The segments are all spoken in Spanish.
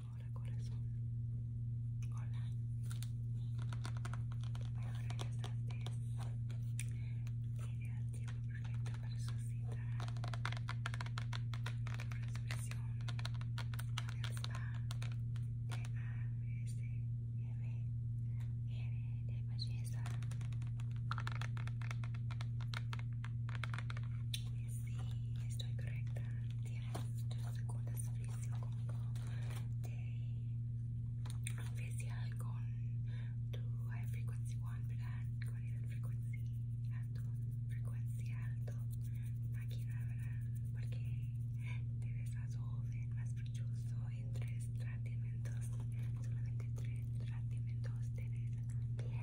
Hola corazón. Hola. Ahora ya Tiene perfecto para su cita. e de belleza. Sí, estoy correcta. Tienes tu segunda servicio conmigo de oficial con tu high frequency one, ¿verdad? Con el frequency alto, frecuencia alto, máquina, ¿verdad? Porque te ves más joven, más en tres tratamientos, solamente tres tratamientos, tienes bien.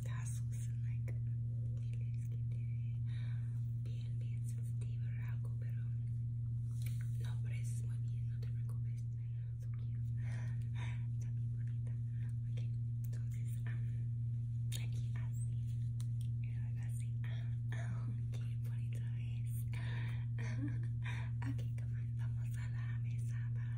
los casos, like, diles que te bien, bien sensitiva o algo, pero no pero es muy bien, no te preocupes, so está bien bonita, ok, entonces, ah, aquí así, así, luego así, qué bonito es, aquí come vamos a la mesa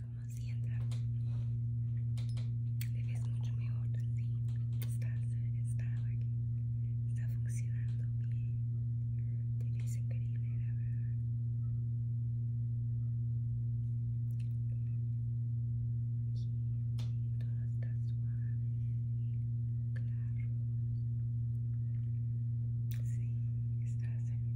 como si entra. Le ves mucho mejor así. Está, está, está funcionando bien. Te ves increíble, la verdad. Aquí todo está suave, claro. Sí, está saliendo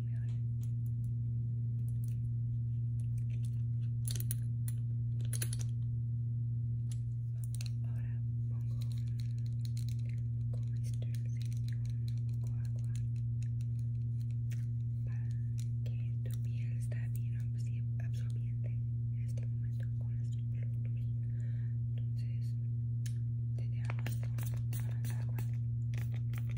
Ahora pongo con un poco de agua para que tu piel esté bien absorbiente en este momento con la producto. Entonces te dejamos con de agua.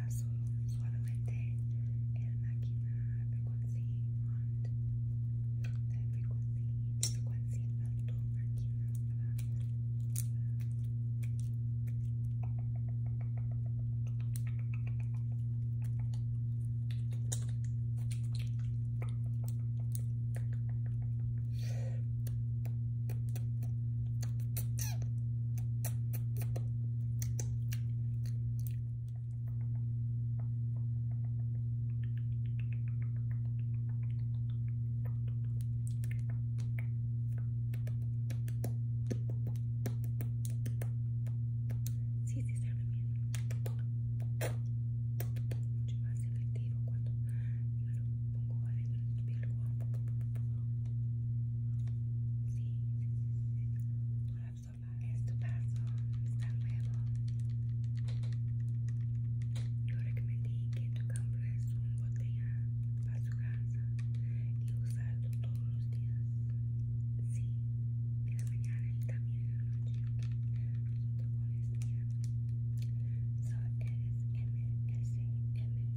paso suavemente el máquina frecuencia on the frequency frecuencia alto máquina Sí, sí, sabe bien. Mucho más efectivo cuando yo lo pongo adentro del piel. Sí, es tu paso, Está nuevo. Yo recomendé que tú compres un botella para su casa y usarlo todos los días. Sí, en la mañana y también en la noche. Junto con este día. So, eres MSM Pure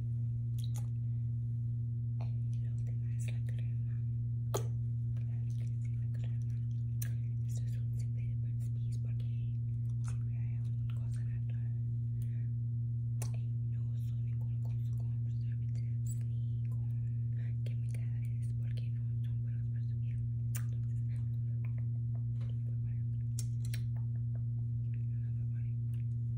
Y lo es la crema. Claro que sí, la crema. Esto es un simple de porque siempre hay una cosa natural. Y no uso ningún cosa con preservativos ni con químicas porque no son buenos para su piel. Entonces, no me vale. No me vale.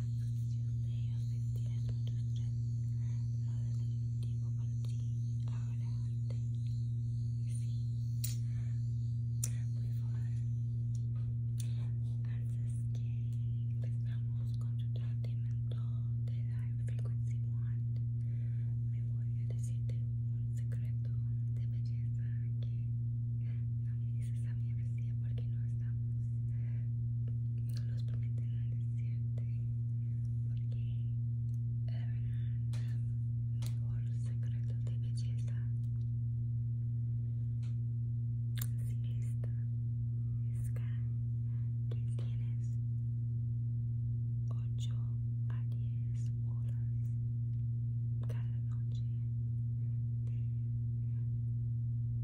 Si ustedes yo sentía en otros días lo delictivo para ti, ahora ante mí, y si, voy a Antes que empezamos con tu tratamiento de Dive Frequency One, me voy a decirte un secreto de belleza que no me dices a mi bestia porque no estamos. No los al decirte. Porque la mejor secreto de belleza. Si esta es que tienes 8 a 10 horas cada noche de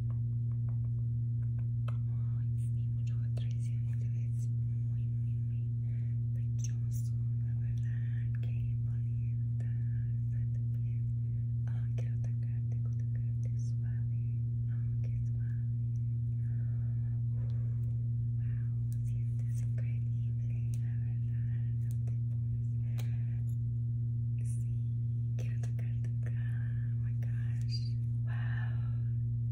Oh, sí mucho atracción, te es muy, muy, muy precioso, la verdad, que bonita, bastante bien. Oh, quiero tocarte, tocarte suave, oh, que suave. Wow, sientes increíble, la verdad, no te pones. Sí, quiero tocarte acá, oh my gosh, Wow,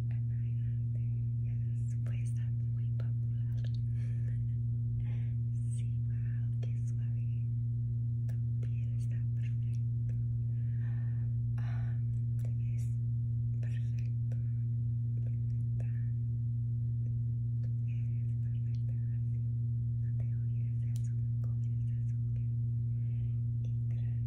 elegante. Eso puede estar muy popular. Sí, wow, qué suave. Tu piel está perfecta, Um, perfecta, Perfecta. Tú eres perfecta así. No te olvides de eso. Comienza eso. Y gracias.